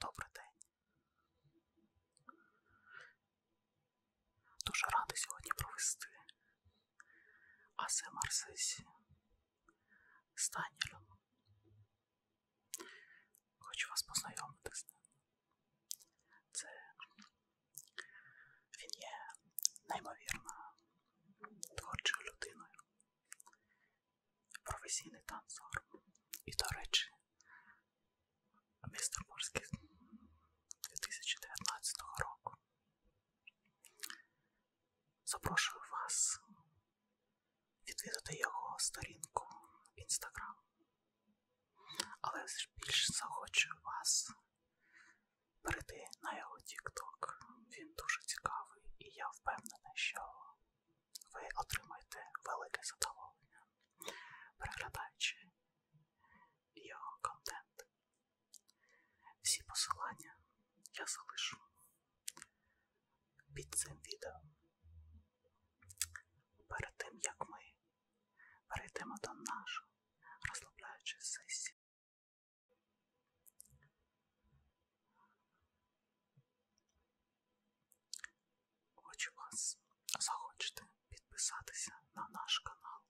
Добрий день. Дуже радий сьогодні провести а це Марсесі Станілем. Хочу вас познайомити з ним. Це він є неймовірно творчою людиною, професійний танцор. І, до речі, містер Морський 2019 року. Запрошую вас відвідати його сторінку Instagram. Але більше захочу вас перейти на його TikTok. Він дуже цікавий і я впевнена, що ви отримаєте велике задоволення, переглядаючи його контент. Всі посилання я залишу під цим відео. Перед тим як ми перейдемо до нашої розслабляючої сесії. Хочу вас захочете підписатися на наш канал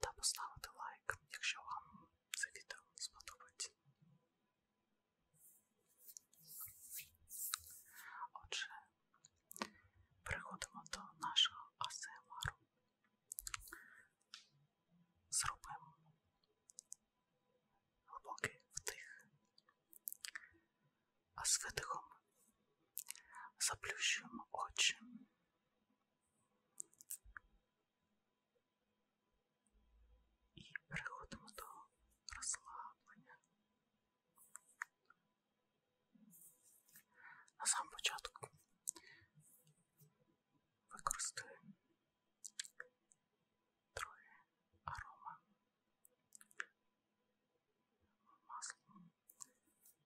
та поставити лайк, якщо вам це відео сподобається. Отже, переходимо до нашого АСМР. Зробимо глибокий вдих, а з видихом заплющуємо очі і переходимо до розслаблення. На сам початку використаємо троє арома масло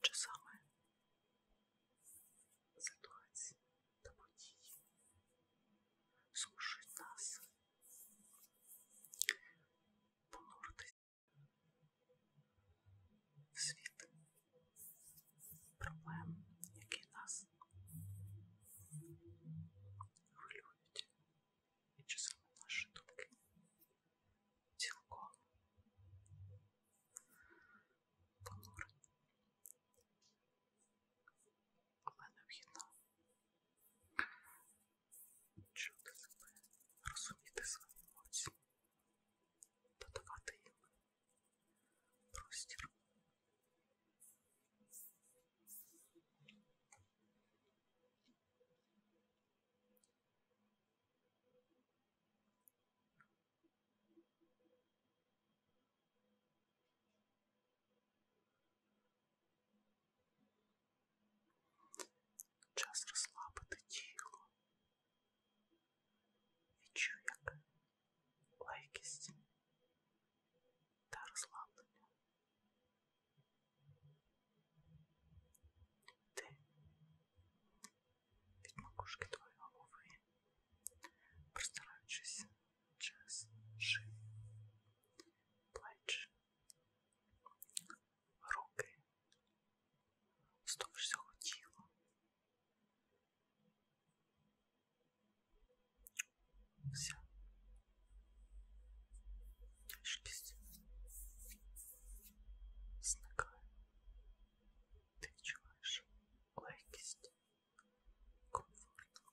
Часами ситуації та події змушують нас понурити в світ проблем, які нас хвилюють, і часами наші думки цілком понурені, але необхідно чути себе, розуміти свої емоції додавати їм простір. Час розслабити тіло, Відчуй, як легкість та розслаблення. Ти від макушки твоєї голови, простираючись через шию, плечі, руки, з того всього тіла все. Тяжкість зникає. Ти відчуваєш легкість, комфорт.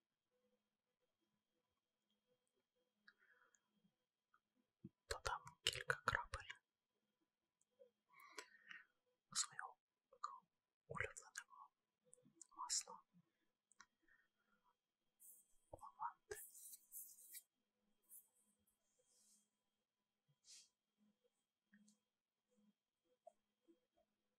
Додам кілька крапель свого улюбленого масла лаванди.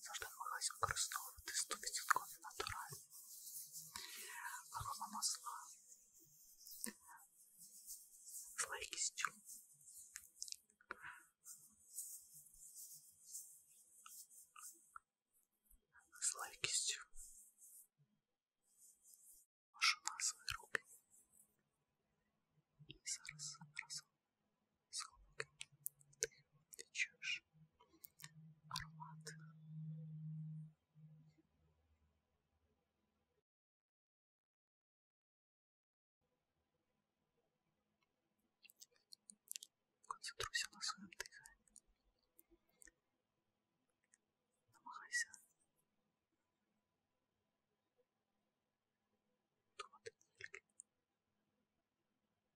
Завжди намагаюся використовувати 100% натуральні аромамасла з легкістю. З легкістю. Вашу на свої руки. І зараз разом звук, ти чуєш аромат. Концентруйся на своєму диханні. Намагайся. Думати тільки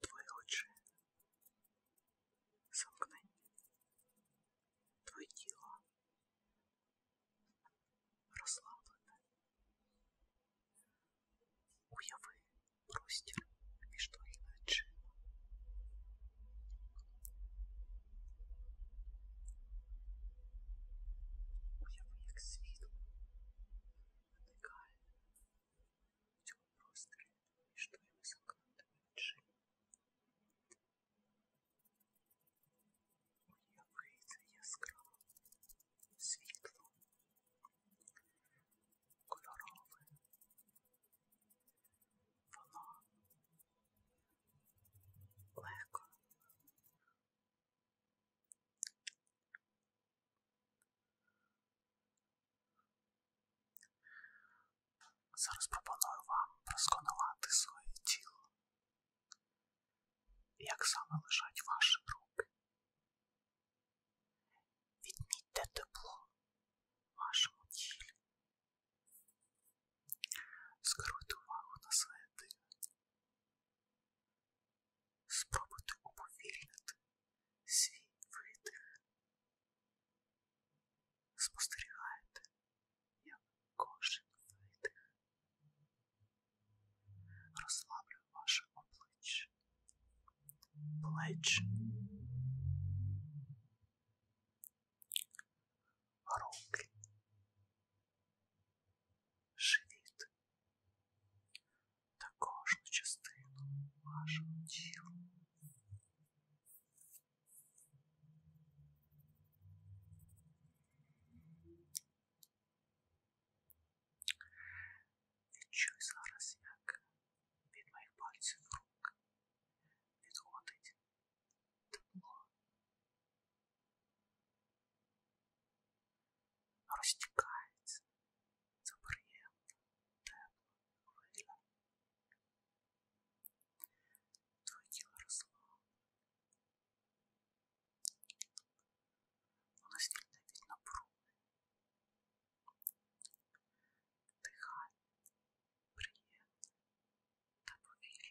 Твої очі замкнені, твоє тіло розслаблене. Уяви простір між твоїми очима. Уяви, як світло виникає в цьому просторі між твоїми закритими очима. Уявиться яскраво світло, кольорове. Воно легко Зараз пропоную вам просконувати своє тіло, як саме лежать ваші руки. Відмітьте тепло в вашому тілі. Скеруйте увагу на своє дихання. Спробуйте уповільнити свій витих. Спостерігайте, як кожен витих. Розслаблюю ваше обличчя, плечі. Руки, живіт, та кожну частину вашого тіла. Відчуй зараз, як від моїх пальців рук відходить тепло. Розтікається за приємна, тепла хвиля. Твоє тіло росло. Воно звільне від напруги. Дихання, приємне та повільне.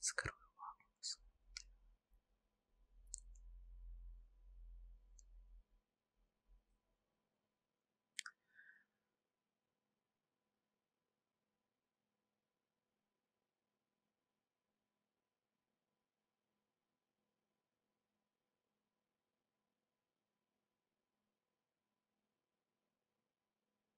Скрою вам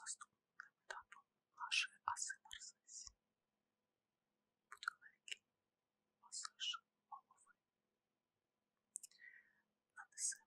Наступним етапом нашої асимарсесії буде легкий масаж голови. Нанесемо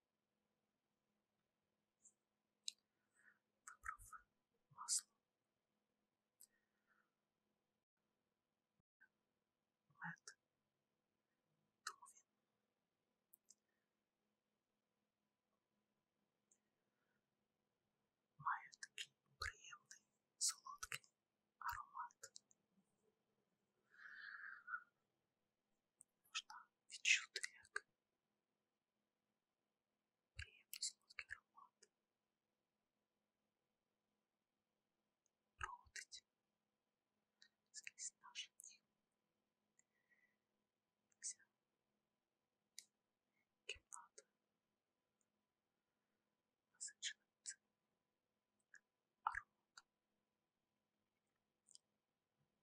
Вибрав масло. Мед. Тому він має такий приємний солодкий аромат. Можна відчути, як приємно солодкий аромат проходить скрізь наше тіло. Вся кімната насичена цим ароматом.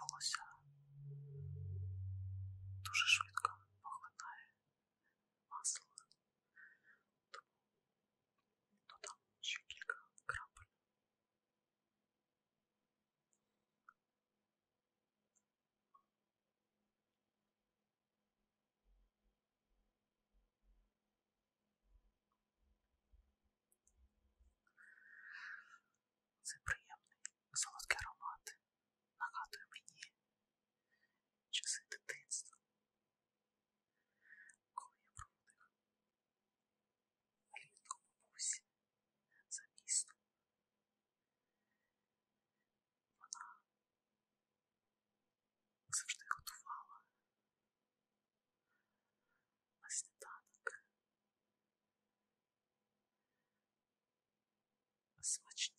Волосся дуже швидко поглинає масло, тому додам ну, ще кілька крапель це приємний солодкий аромат нагадує мені часи дитинства, коли я проводив влітку бабусі за містом. Вона завжди готувала на сніданок смачні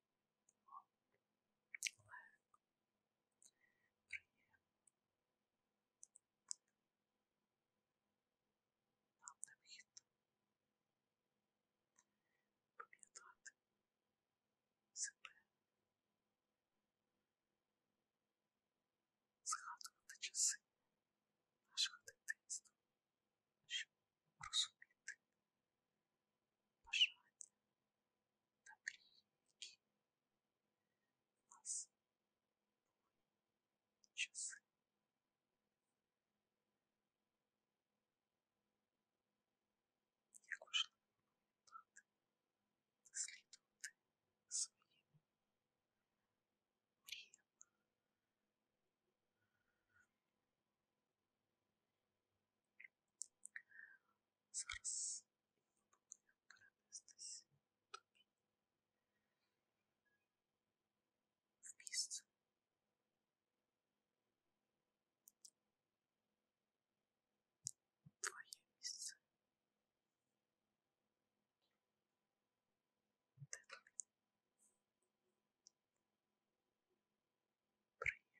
легко, приємно. Нам необхідно пам'ятати себе, згадувати часи нашого дитинства, щоб розуміти бажання та мрії, які в нас були часи. Як важливо пам'ятати, дослідувати своїм мріям. Зараз пропоную перенестись тобі в місце. Твоє місце. Де тобі? Приємно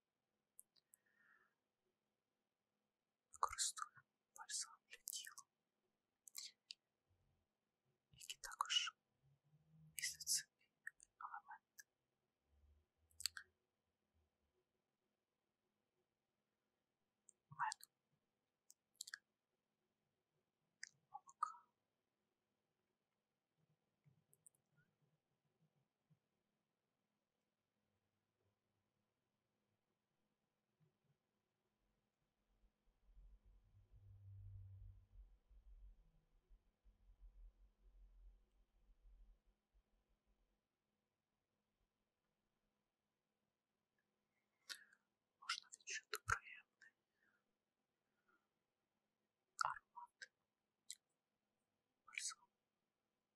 Використовуємо бальзам для тіла, які також містять собі елементи. Меду, молока. Можна відчути приємний аромат бальзаму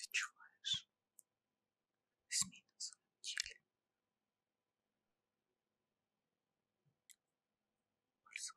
Відчуваєш зміни в своєму тілі. Пальцом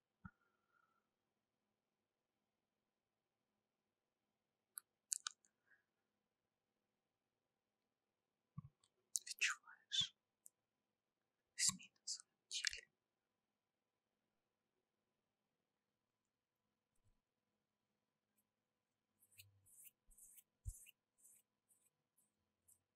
Відчуваєш зміни в своєму тілі.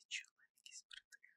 і чоловік із притих.